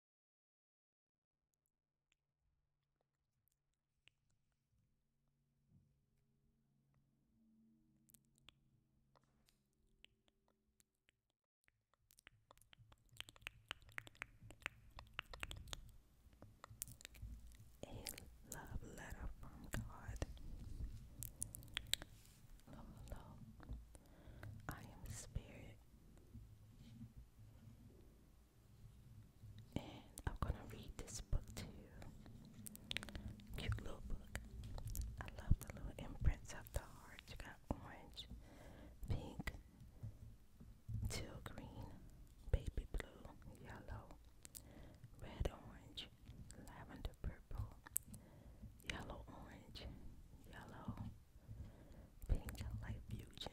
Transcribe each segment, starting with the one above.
A love letter from God. Hello, I am spirit. And I'm gonna read this book to you. Cute little book. I love the little imprints of the heart. You got orange, pink, teal green, baby blue, yellow, red orange, lavender purple, yellow orange, yellow, Pink like fusion.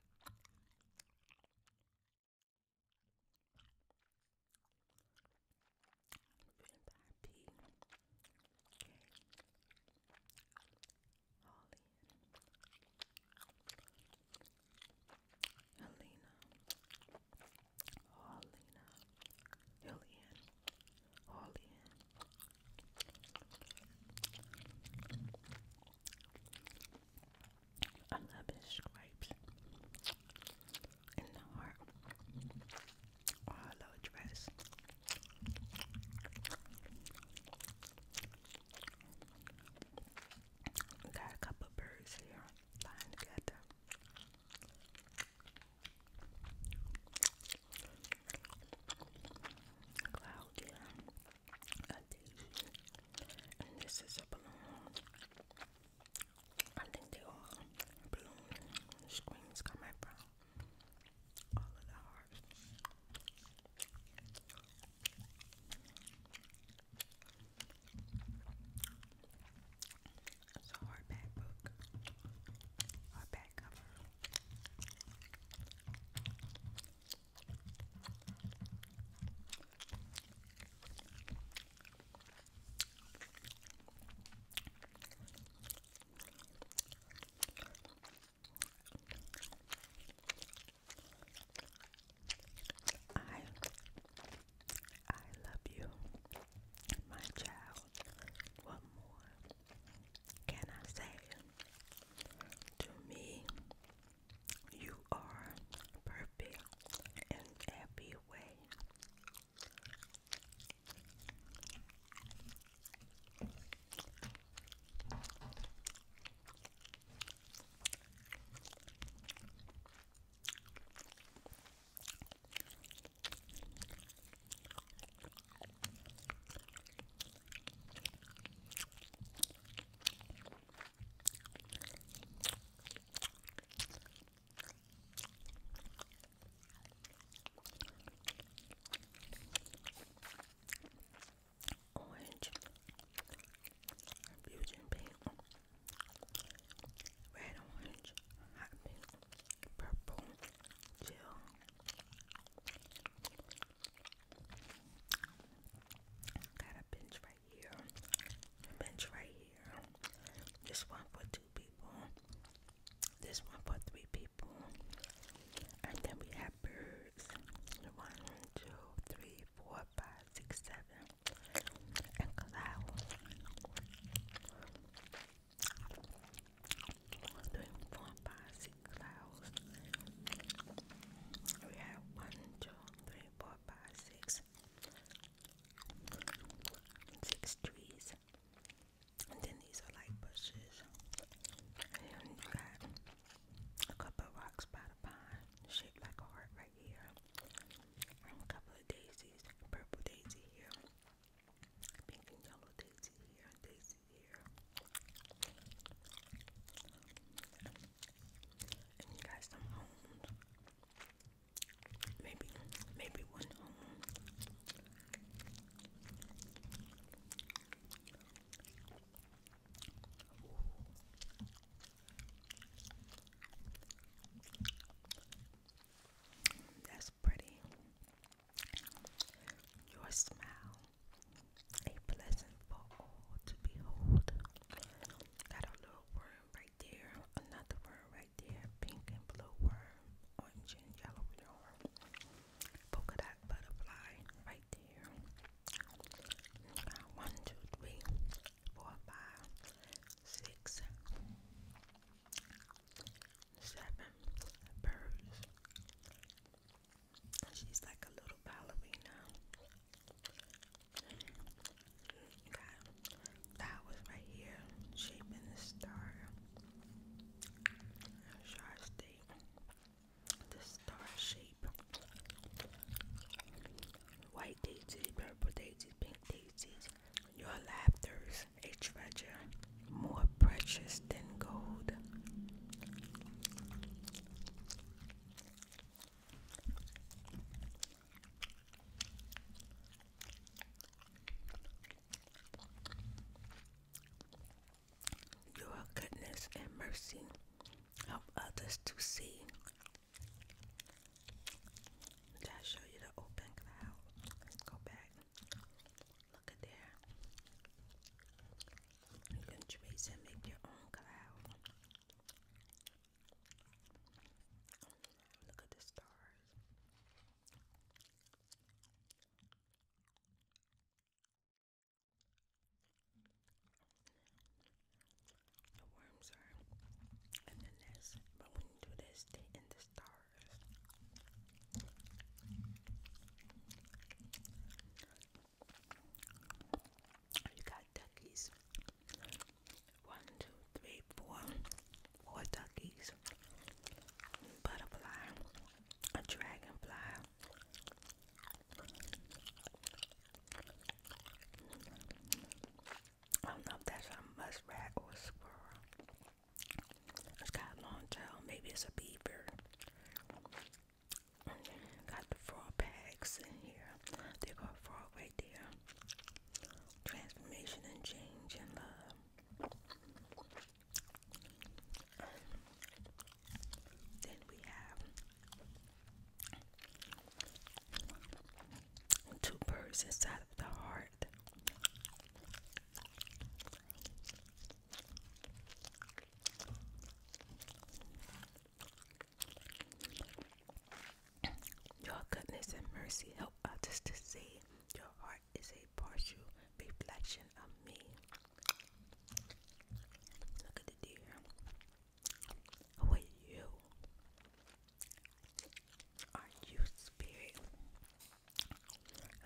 P. K. Holly. Helena. Paulina. Hillian. Paulian. I love his stripes in the heart. Oh, I love Got a couple birds here flying together. Cloud, yeah and this is a balloon. I think they balloon screams coming from all of the It's a hardback book, hardback cover. I I love you, my child. What more can I say? To me, you are perfect in every way. Orange, fusion pink, red orange, hot pink, purple, chill, Got a bench right here. Bench right here. This one for two people. This one for three people. And then we have birds. One, two, three, four, five, six, seven. And clouds. One, two, three, four, five, see clouds. We have one, two, three, four, five, six, six trees. And then these are like bushes. And you got a couple of rocks by the pond, shaped like a heart right here. a couple of daisies, purple daisy here, pink and yellow daisy here, daisy here. you Maybe, maybe one That's pretty. Your smile a blessing for all to behold. Got a little worm right there, another worm right there, pink and blue worm, orange and yellow worm, polka dot butterfly right there. One, two, three, four, five, six, seven birds. She's like a little ballerina. Got flowers right here, shaping the star. Star state. The star shape. White daisies, purple daisies, pink daisies. Your laughter's a treasure more precious than gold. Your goodness and mercy help others to see. Did show you the open cloud? go back. Look at there. You can trace make your own cloud. Look at the stars. The worms are in the nest, but when you do this, they in the stars. You got duckies. One, two, three, four. Four duckies. Butterfly. A dragonfly. I don't know if that's a muskrat or a squirrel. It's got a long tail. Maybe it's a beaver. Got the frog packs in here. They got frog right there. Transformation and change and Then we have two birds inside of the heart. Your goodness and mercy help others to see your heart is a partial reflection of me. Look at the deer. Who you? Are you spirit?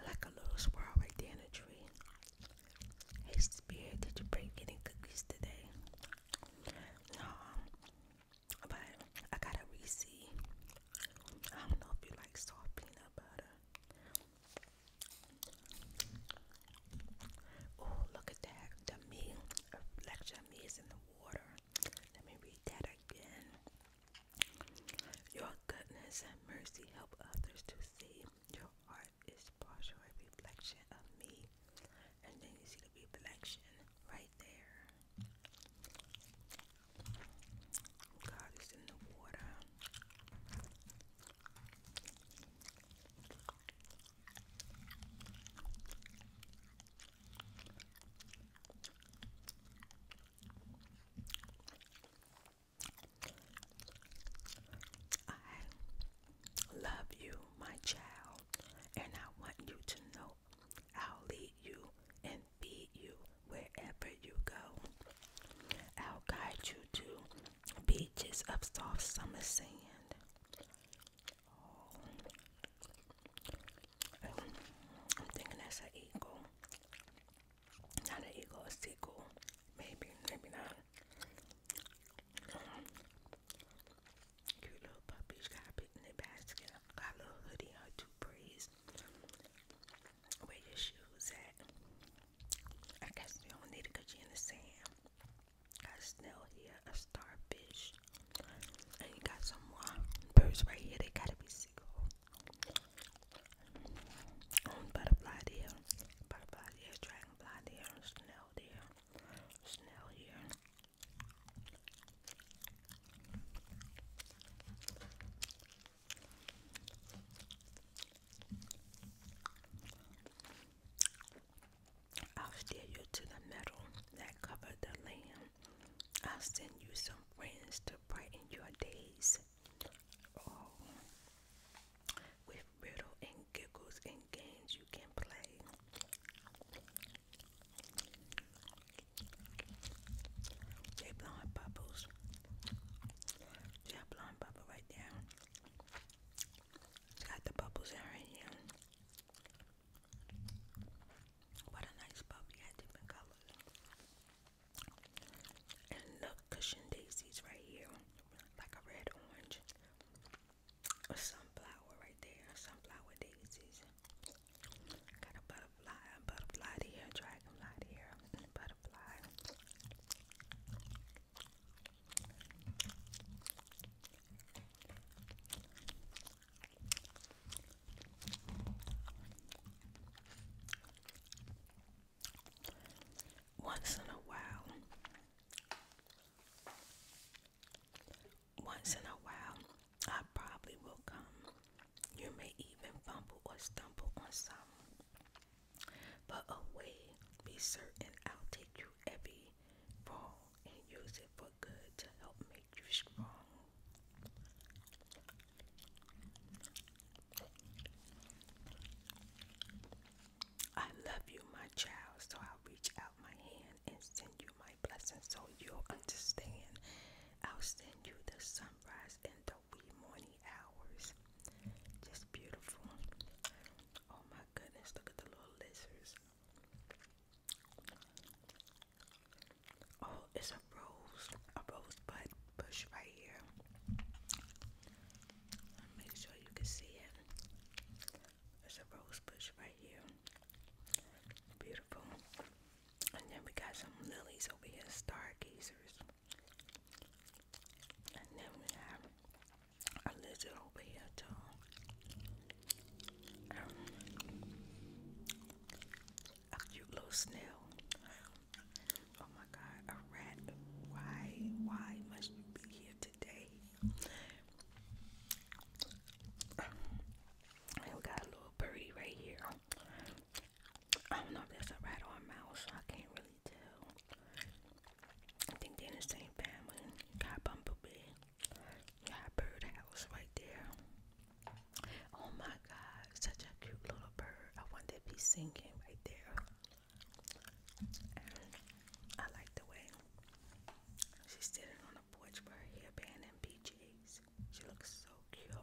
Like a little squirrel right there in a tree. Hey Spirit, did you bring any cookies today? No, but I got a Reese. I don't know if you like soft peanut butter. Oh, look at that. The me, reflection me is in the water. Let me read that again. Your goodness and mercy help others to see your heart is partial reflection of me. And then you see the reflection right there. God is in the water. I love you, my child, and I want you to know I'll lead you and feed you wherever you go. I'll guide you to beaches of soft summer sand. Oh. Um, I'm thinking that's an eagle. Not an eagle, a seagull. Maybe, maybe not. Cute little puppy. got a bit in the basket. Got a little hoodie on, two braids. Where your shoes at? I guess we do need it because you in the sand. Got a snail here, a starfish. And you got some more birds right here. They gotta be seagull. On butterfly there. Butterfly there, dragon I'll steer you to the metal that covered the land. I'll send you some friends to brighten your days. Oh with riddle and giggles and games you can play. They bubbles. They bubble right there. It's got the bubbles right here. What a nice bubble. You different colors. And look, cushion daisies right here like a red orange, a sunflower right there, sunflower daisies. Got a butterfly, a butterfly here, a dragonfly here, butterfly once in a while. Once in a while, I probably will come. You may even fumble or stumble on some. But away, be certain I'll take you every fall and use it for good to help make you strong. I love you, my child, so i reach out my hand and send you my blessing so you'll understand. I'll send you the sunrise in the wee morning hours. Just beautiful. Oh my goodness, look at the little lizards. Oh, it's a rose, a rosebud bush right here. Make sure you can see it. There's a rose bush right here. Beautiful. And then we got some lilies over here, stargazers. And then we have a lizard over here too. Um, a cute little snail. Oh my god, a rat. Why, why must you be here we got a little birdie right here. I don't know if that's a rat or a mouse. I can't really tell. I think they're in the same family. got bumblebee. got birdhouse right there. Oh my God, such a cute little bird. I wonder if he's singing right there. I like the way she's sitting on the porch with her hair band and PJs. She looks so cute.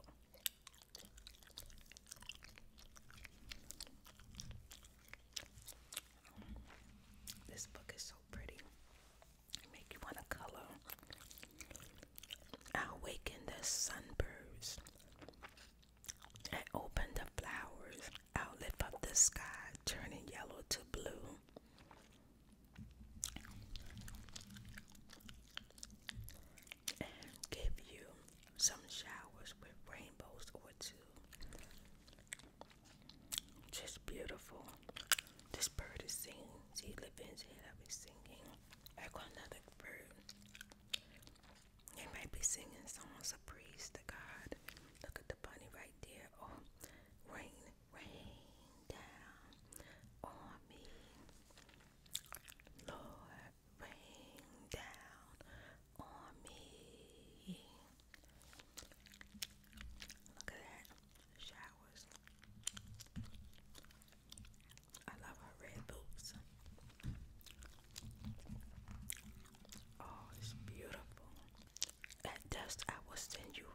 This book is so pretty. make you want to color. I'll awaken the sunbirds. I open the flowers. I'll lift up the sky, turning yellow to blue. And give you some showers with rainbows or two. Just beautiful. This bird is singing. See, the bench head, I be singing. I got another bird. He might be singing songs of praise to God. Look at the bunny right there. Oh, rain, rain down on me. Lord, rain down on me. Look at that. Showers. I love her red Oh, it's beautiful. At dusk, I will send you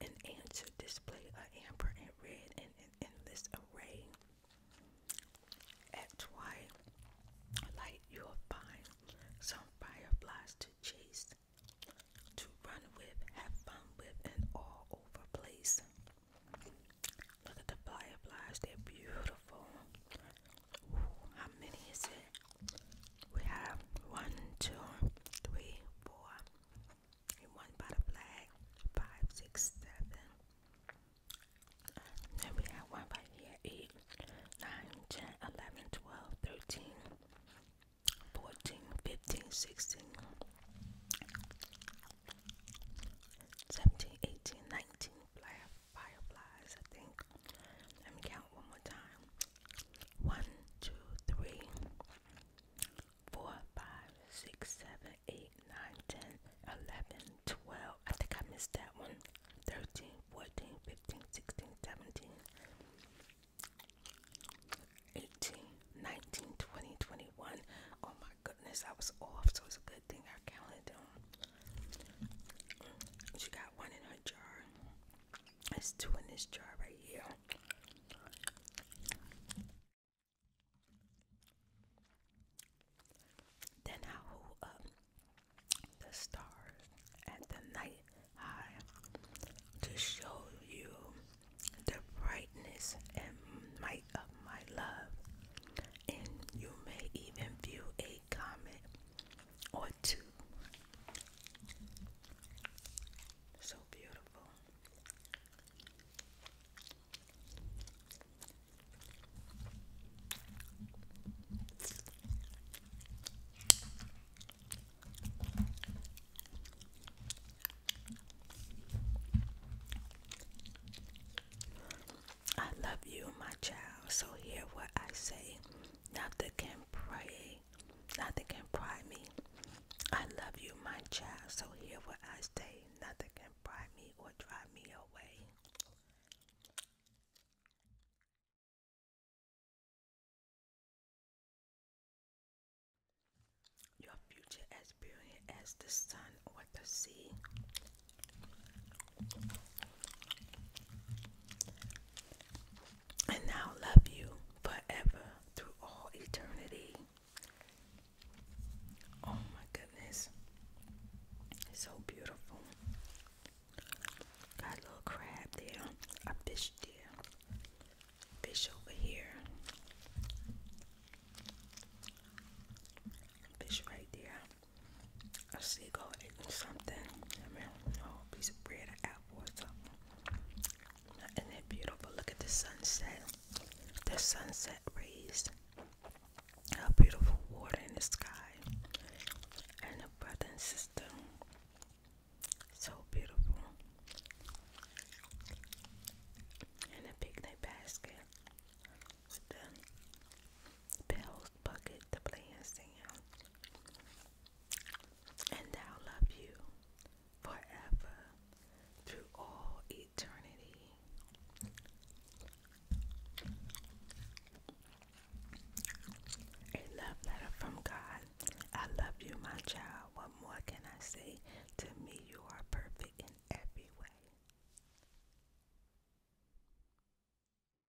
an to display a amber and red in an endless array. At twilight, light you'll find some fireflies to chase, to run with, have fun with, and all over place. Look at the fireflies, they're beautiful. How many is it? We have one, two, three, four, and one butterfly, five, six, seven. Then we have one right here, eight, nine, ten, eleven, twelve, thirteen, fourteen, fifteen, sixteen. 17, 18, 19 flap fireflies, I think. Let me count one more time. One, two, three, four, five, six, seven, eight, nine, ten, eleven, twelve. I think I missed that one. 13, 14, 15, 16, 17, 18, 19, 20, 21. Oh my goodness, I was off, so it's a good thing I counted them. She got one in her jar. There's two in this jar right here. Then I hold up the stars at the night high to show you the brightness and might of my love. And you may even view a comet or two. So beautiful. I love you, my child. So, hear what I say. Nothing can pray. Nothing can pry me. I love you, my child. So here what I stay. Nothing can pry me or drive me away. Your future as brilliant as the sun or the sea. And now love you forever through all eternity. Oh my goodness. so beautiful. Got a little crab there, a fish there, fish over here, fish right there a seagull eating something. I mean, you know, piece of bread, apple, something. Isn't it beautiful? Look at the sunset. The sunset rays. How beautiful water in the sky. And the brother and sister. So beautiful. And a picnic basket. With Bell's Bucket to play in Sam. And I'll love you forever through all eternity. A love letter from God. I love you, my child. What more can I say? To me, you are perfect in every way.